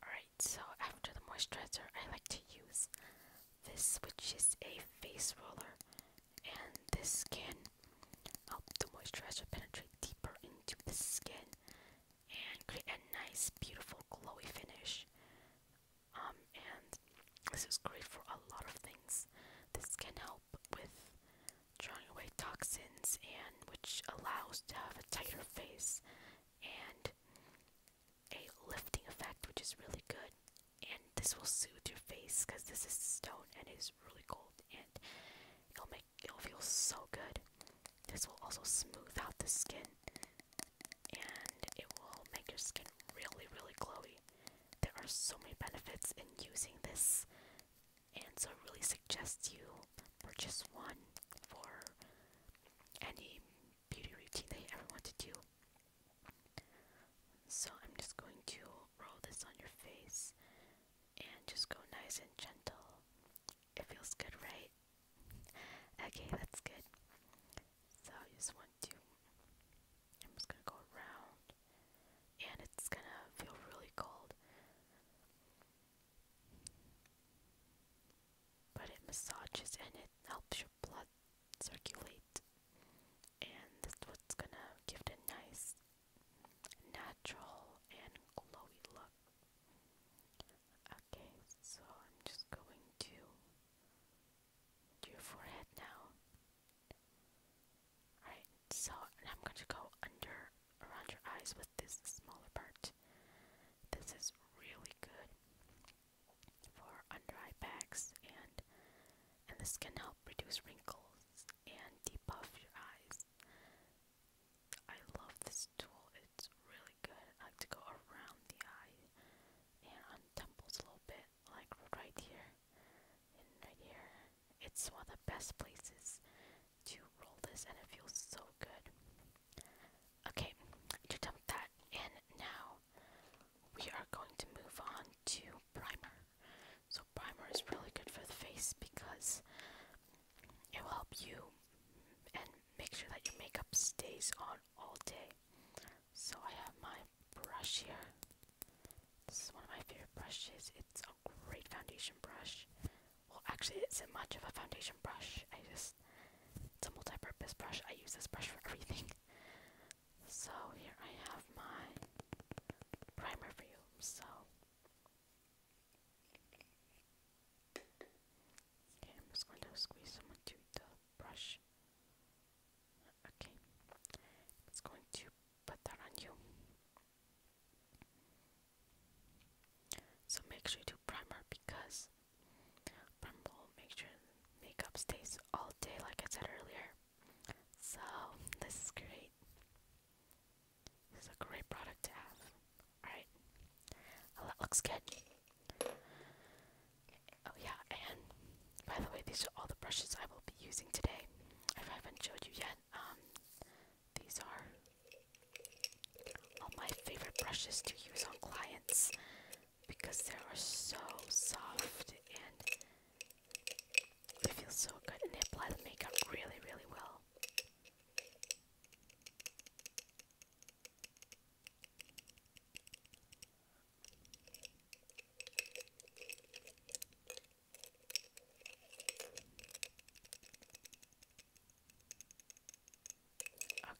Alright, so after the moisturizer, I like to use this, which is a face roller, and this can help the moisturizer penetrate deeper into the skin and create a nice, beautiful, glowy finish. Um, and this is great for a lot of things. This can help with drawing away toxins and which allows to have a tighter face and a lifting effect, which is really good. And this will soothe your face because this is stone and it is really cold, and it'll make it'll feel so good. This will also smooth out the skin, and it will make your skin really, really glowy. There are so many benefits in using this, and so I really suggest you purchase one for any beauty routine that ever want to do. So I'm just going to roll this on your face and just go nice and gentle. It feels good, right? Okay, that's good. So I just want to, I'm just gonna go around and it's gonna feel really cold but it massages and it helps your blood circulate. And that's what's gonna give it a nice, natural, and glowy look. Okay, so I'm just going to do your forehead now. Alright, so I'm going to go under around your eyes with this smaller part. This is really good for under eye bags and and this can help reduce wrinkles and debuff your eyes. I love this tool. It's really good. I like to go around the eye and on temples a little bit, like right here and right here. It's one of the best places to roll this and it feels so good. Okay, you dump that in now. We are going to move on to primer. So primer is really good for the face because it will help you and make sure that your makeup stays on all day. So I have my brush here. This is one of my favorite brushes. It's a great foundation brush. Well, actually, it isn't much of a foundation brush. I just. It's a multi purpose brush. I use this brush for everything. So, here I have my primer for you. So. I'm just going to squeeze some into the brush. Okay. It's going to put that on you. So make sure you do primer because primer will make sure makeup stays all day like I said earlier. So this is great. This is a great product to have. Alright. looks good. Oh yeah, and by the way these are all the brushes I will be using today. If I haven't showed you yet, um these are all my favorite brushes to use on clients because they are so soft and they feel so good and they apply the makeup really, really well.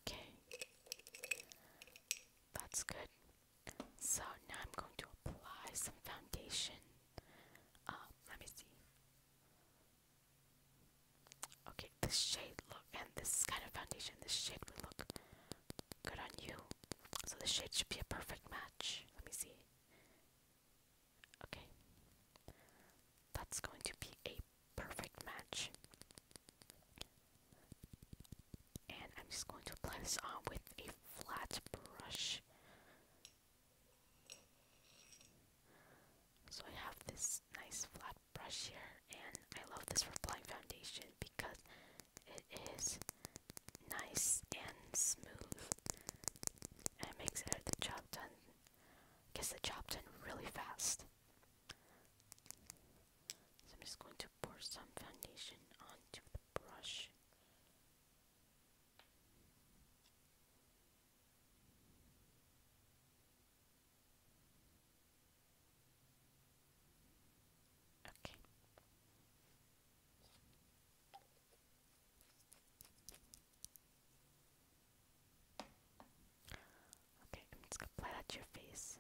Okay. That's good. So now I'm going to apply some foundation. Uh, let me see. Okay, this shade look and this kind of foundation, this shade would look good on you. So the shade should be a perfect match. Let me see. Okay. That's going to be a perfect match. And I'm just going to apply this on with a flat brush. So I have this nice flat brush here, and I love this for applying foundation because it is nice and smooth, and it makes it, the job done. Gets the job done really fast. So I'm just going to pour some foundation onto the brush. Okay. Okay, I'm just gonna apply that to your face.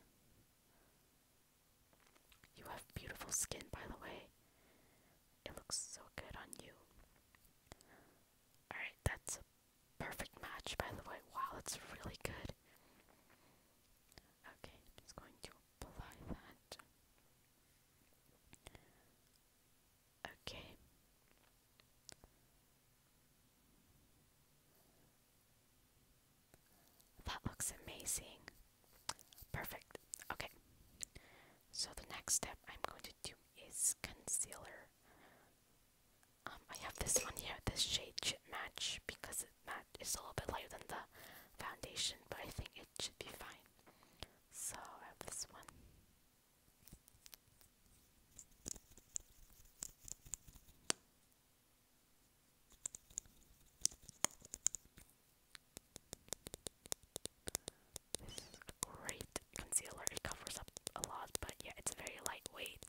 You have beautiful skin, by the way. It looks so good on you. Alright, that's a perfect match, by the way. Wow, that's really good. Okay, I'm just going to apply that. Okay. That looks amazing. Perfect. Okay. So the next step I'm going to do is concealer. Um, I have this one here. This shade match because it a little bit lighter than the foundation, but I think it should be fine. So I have this one. This a great concealer. It covers up a lot, but yeah, it's very light weight,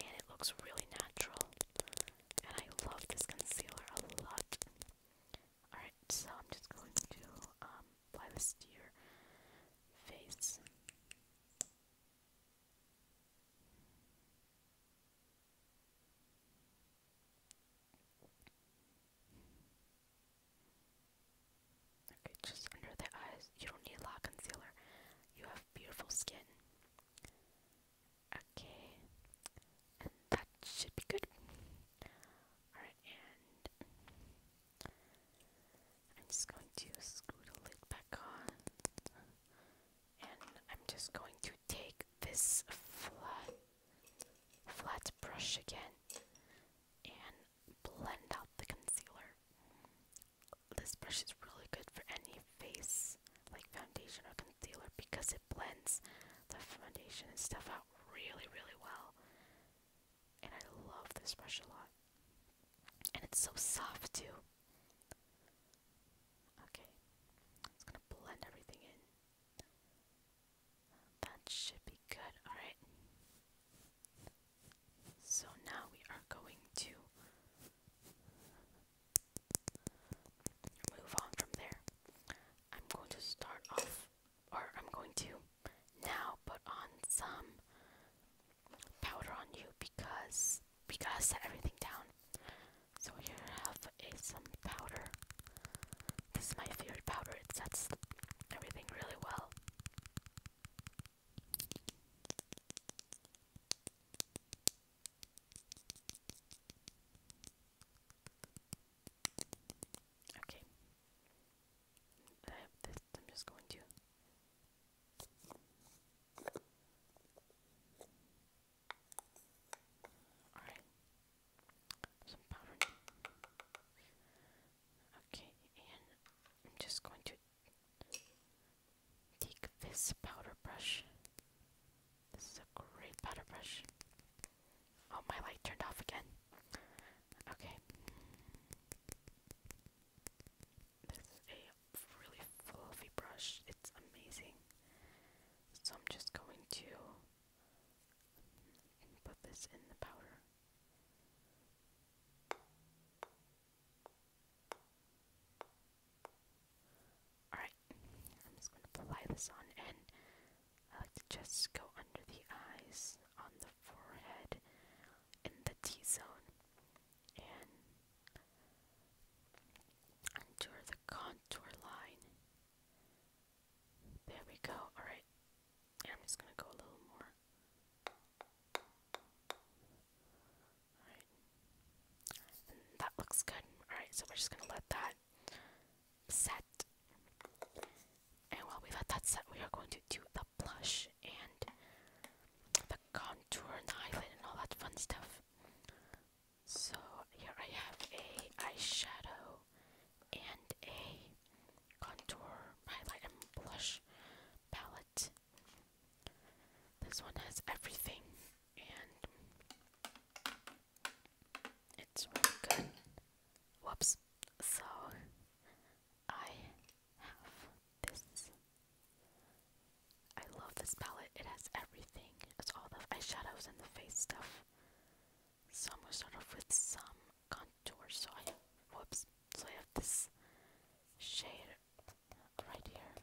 and it looks really natural. And I love this concealer a lot. Alright, so I'm just going to um, apply this face. Okay, just under the eyes. You don't need a lot of concealer. You have beautiful skin. Okay, that should be good. Alright, and I'm just going to screw the lid back on. And I'm just going to take this flat flat brush again and blend out the concealer. This brush is really good for any face like foundation or concealer because it blends the foundation and stuff out really really well. And I love this brush a lot. And it's so soft too. Okay. It's gonna blend everything in. That should be good. Alright. So now we are going to move on from there. I'm going to start off, or I'm going to now put on some powder on you because we gotta set everything down. So here I have some powder. This is my favorite powder. It sets everything really well. Okay. I have this. I'm just going to Alright. Some powder. Okay, and I'm just going to take this powder brush. This is a great powder brush. Oh, my light turned off again. Okay. This a really fluffy brush. It's amazing. So I'm just going to put this in the powder. Alright, I'm just going to apply this on and I like to just go under the eyes, on the forehead, in the T zone and under the contour line. There we go. Alright. I'm just gonna go a little more. Alright. that looks good. Alright, so we're just gonna let that set. And while we let that set, we are going to do the blush and the contour and the highlight and all that fun stuff. So here I have a eyeshadow and a contour highlight and blush palette. This one has everything and it's really good. Whoops. So I have this. I love this palette. It has everything. It's all the eyeshadows and the face stuff. So I'm gonna start off with some contour. So I whoops. So I have this shade right here.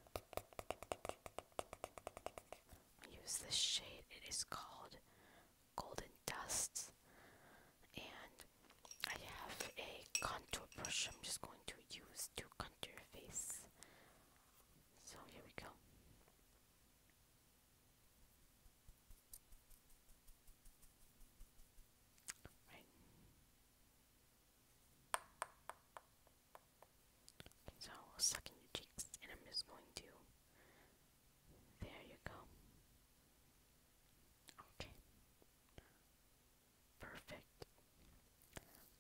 use this shade. It is called Golden Dust. And I have a contour brush I'm just going to use to contour your face. So here we go. Right. so I'll suck in your cheeks and I'm just going to there you go. Okay. Perfect.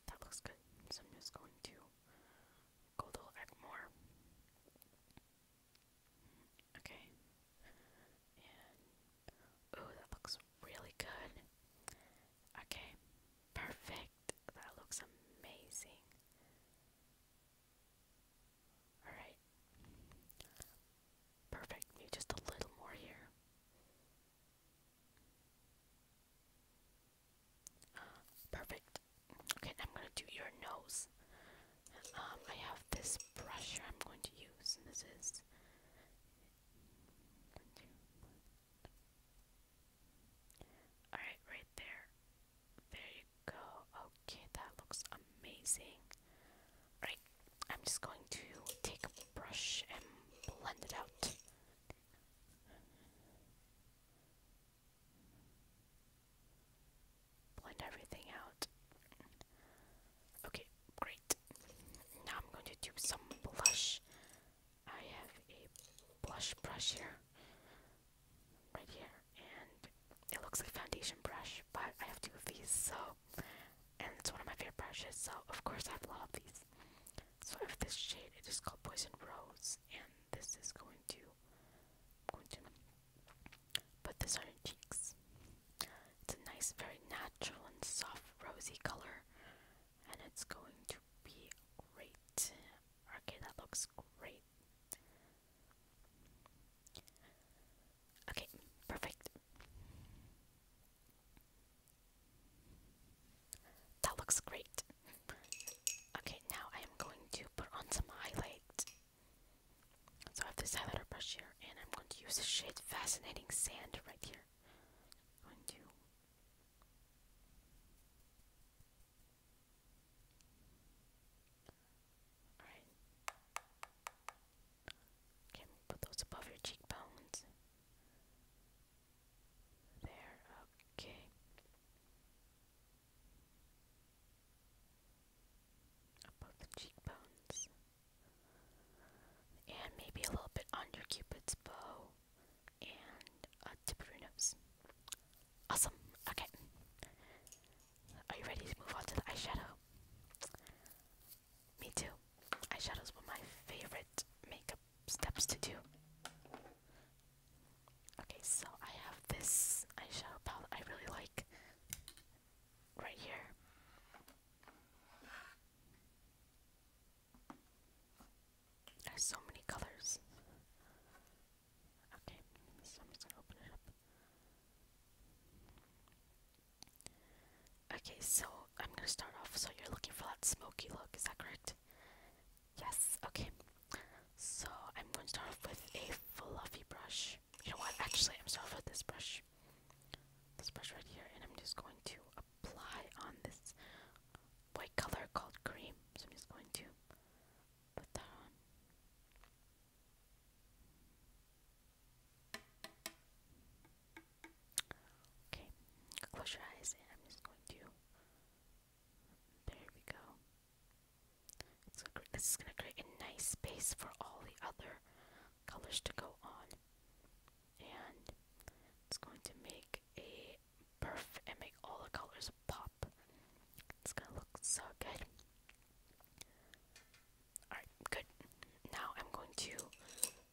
That looks good. So I'm just going to go a little bit more. Okay. And oh, that looks really good. Okay. Perfect. That looks amazing. All right. Perfect. Maybe just a little more here. Perfect. Okay, I'm gonna do your nose. Um, I have this brush I'm going to use, this is. Alright, right there. There you go. Okay, that looks amazing. Alright, I'm just going to take a brush and blend it out. Blend everything out. Okay, great. Now I'm going to do some blush. I have a blush brush here, right here, and it looks like foundation brush, but I have two of so and it's one of my favorite brushes, so of course I love these. So I have this shade, it is called Poison Rose, and this is going to going to put this on your cheeks. It's a nice, very natural and soft rosy color, and it's going to be great. Okay, that looks great. Okay, perfect. That looks great. Okay, now I am going to put on some highlight. So I have this highlighter brush here, and I'm going to use the shade Fascinating Sand right here. I'm going to Alright. Okay, put those above your cheekbones. There, okay. Above the cheekbones. And maybe a little bit under Cupid's bow. And uh, tip of your nose. Awesome. Okay. Are you ready to move on to the eyeshadow? Me too. Eyeshadows were my favorite makeup steps to do. Okay, so I have this eyeshadow palette I really like right here. There's so many colors. Okay, so I'm just gonna open it up. Okay, so I'm gonna start off. So you're looking for that smoky look, is that correct? Yes, okay. So I'm going to start off with a fluffy brush. You know what? Actually, I'm starting with this brush. This brush right here, and I'm just going to apply on this white color called cream. So I'm just going to put that on. Okay, close your eyes and I'm just going to. There we go. It's gonna, this is going to create a nice space for all the other colors to go on. And it's going to make a perf and make all the colors pop. It's going to look so good. Alright, good. Now I'm going to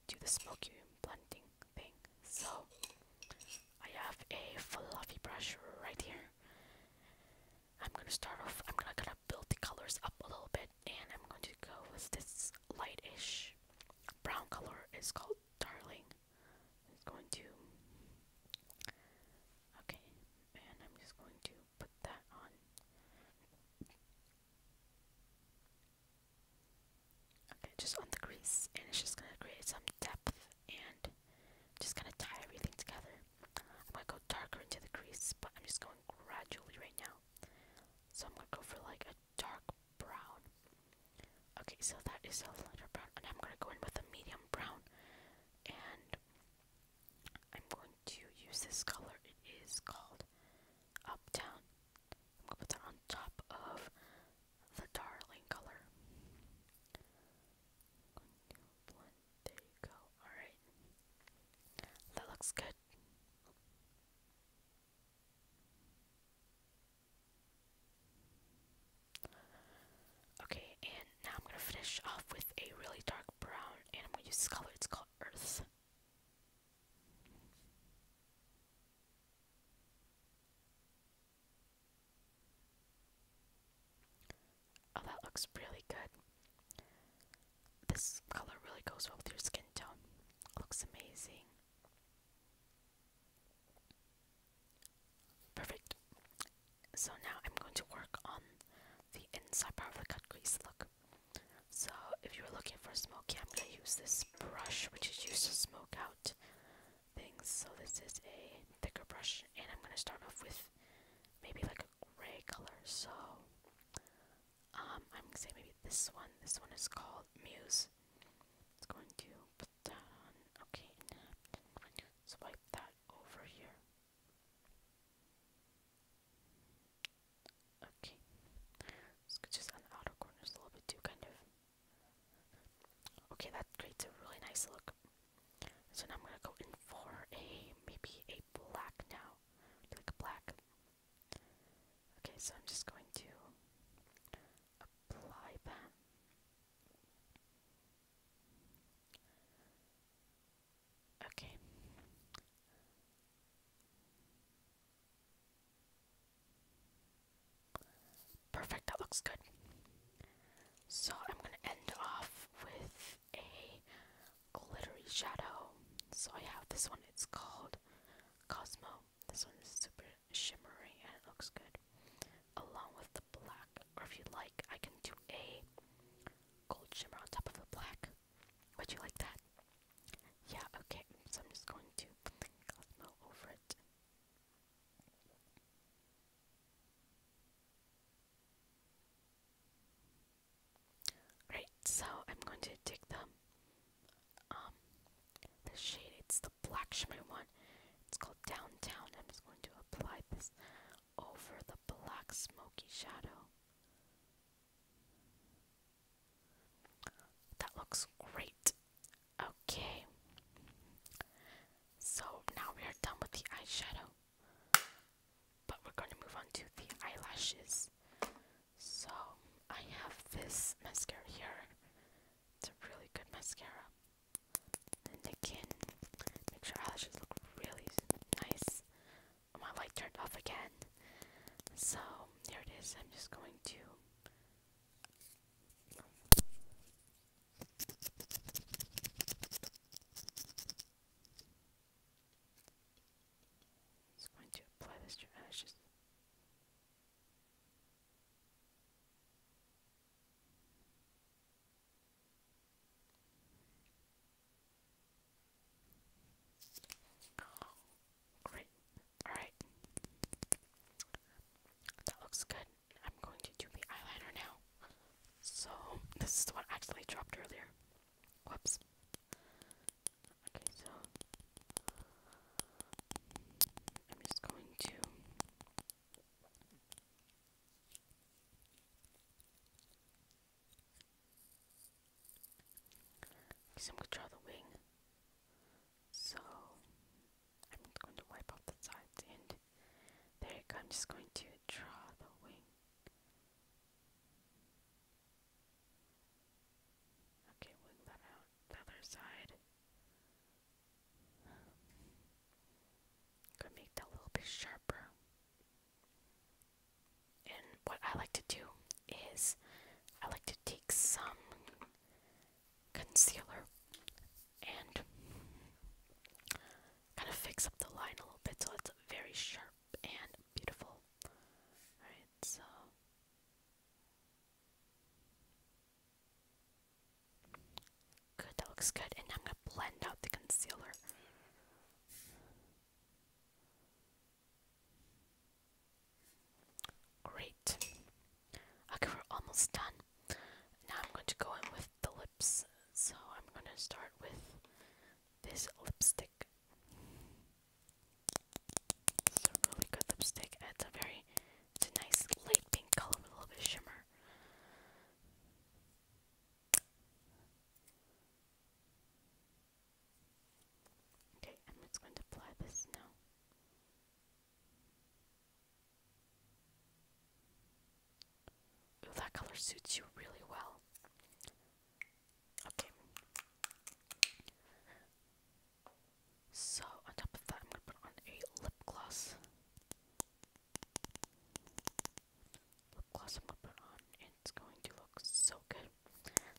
do the smoky blending thing. So I have a fluffy brush right here. I'm gonna start off. I'm gonna kind of build the colors up a little bit, and I'm going to go with this lightish brown color. It's called Darling. It's going to okay, and I'm just going to put that on. Okay, just on the crease, and it's just gonna create some depth and just gonna tie everything together. I'm gonna go darker into the crease, but I'm just going gradually right now. So I'm gonna go for like a dark brown. Okay, so that is a lighter brown, and I'm gonna go in with a medium brown, and I'm going to use this color. It is called Uptown. I'm gonna put that on top of the darling color. there you go. Alright. That looks good. Okay, and now I'm gonna finish off with a really dark brown, and I'm gonna use this color. It's called Earth. Oh, that looks really good. This color really goes well with your skin tone. Looks amazing. Perfect. So now I'm going to work on the inside part of the cut crease look. So if you're looking for smoky, I'm gonna use this brush, which is used to smoke out things. So this is a thicker brush, and I'm gonna start off with maybe like a gray color. So um, I'm gonna say maybe this one. This one is called Muse. It's going to put that on. Okay, swipe that over here. Okay. just on the outer corners a little bit too, kind of. Okay, that creates a really nice look. So now I'm gonna go in for a maybe a black now, like black. Okay, so I'm just going to apply that. Okay. Perfect, that looks good. So I'm gonna end off with a glittery shadow. So I have this one, it's called Cosmo. This one is super shimmery and it looks good. Along with the black, or if you like, I can do a gold shimmer on top of the black. Would you like that? Yeah, okay, so I'm just going to Cosmo over it. Great, so I'm going to take the um the shade, it's the black shimmer one. It's called Downtown. I'm just going to apply this over the black smoky shadow. That looks great. Okay. So now we are done with the eyeshadow. But we're going to move on to the eyelashes. So I have this mascara here. It's a really good mascara. And again, make sure eyelashes look really nice. my um, light turned off again. So here it is. I'm just going to just going to apply this to Great. Alright. That looks good. I'm going to do the eyeliner now. So, this is the one I actually dropped earlier. Whoops. Okay, so. I'm just going to. Because I'm going to draw the wing. So, I'm going to wipe off the sides and there I'm just going to draw the wing. Okay, wing that out the other side. Gonna make that a little bit sharper. And what I like to do is I like to take some concealer and kind of fix up the line a little bit so it's very sharp and beautiful. Alright, so. Good, that looks good. And I'm going to blend out the concealer. Great. Okay, we're almost done. Now I'm going to go in with the lips. So I'm going to start with this lipstick. It's a really good lipstick. It's a very, it's a nice light pink color a little bit shimmer. Okay, I'm just going to apply this now. Ooh, that color suits you really well. Okay. So, on top of that, I'm going to put on a lip gloss. Lip gloss I'm going to put on, it's going to look so good.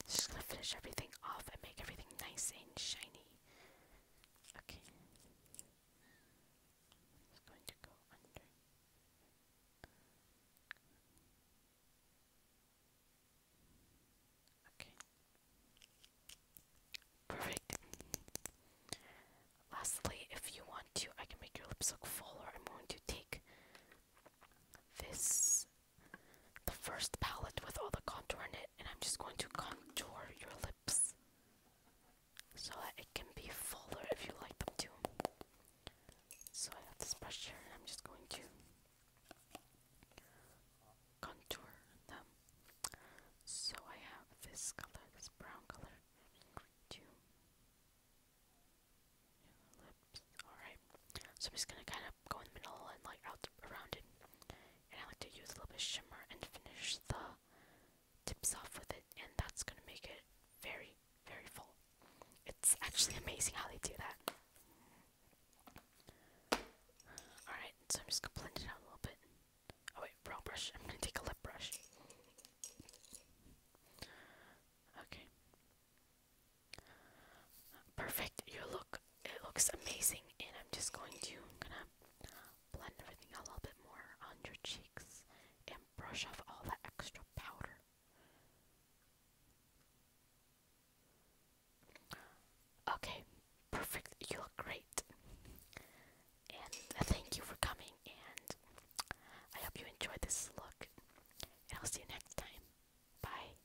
Just gonna finish everything off and make everything nice and shiny. Okay. It's going to go under. Okay. Perfect. Lastly, if you want to, I can make your lips look fuller. I'm going to take this the first palette with all the contour in it, and I'm just going to contour your lips so that it can be fuller if you like them too. So I have this brush here, and I'm just going to contour them. So I have this color, this brown color, to lips. Alright. So I'm just gonna kind of go in the middle and like out around it. And I like to use a little bit of shimmer and finish the tips off with it, and that's gonna make it very, very full. It's actually amazing how they do that. Alright, so I'm just gonna blend it out a little bit. Oh wait, brow brush. I'm gonna take a lip brush. Okay. Perfect. You look it looks amazing and I'm just going to gonna blend everything a little bit more on your cheeks and brush off all the extra powder. Okay, perfect. You look great. And thank you for coming and I hope you enjoyed this look. And I'll see you next time. Bye.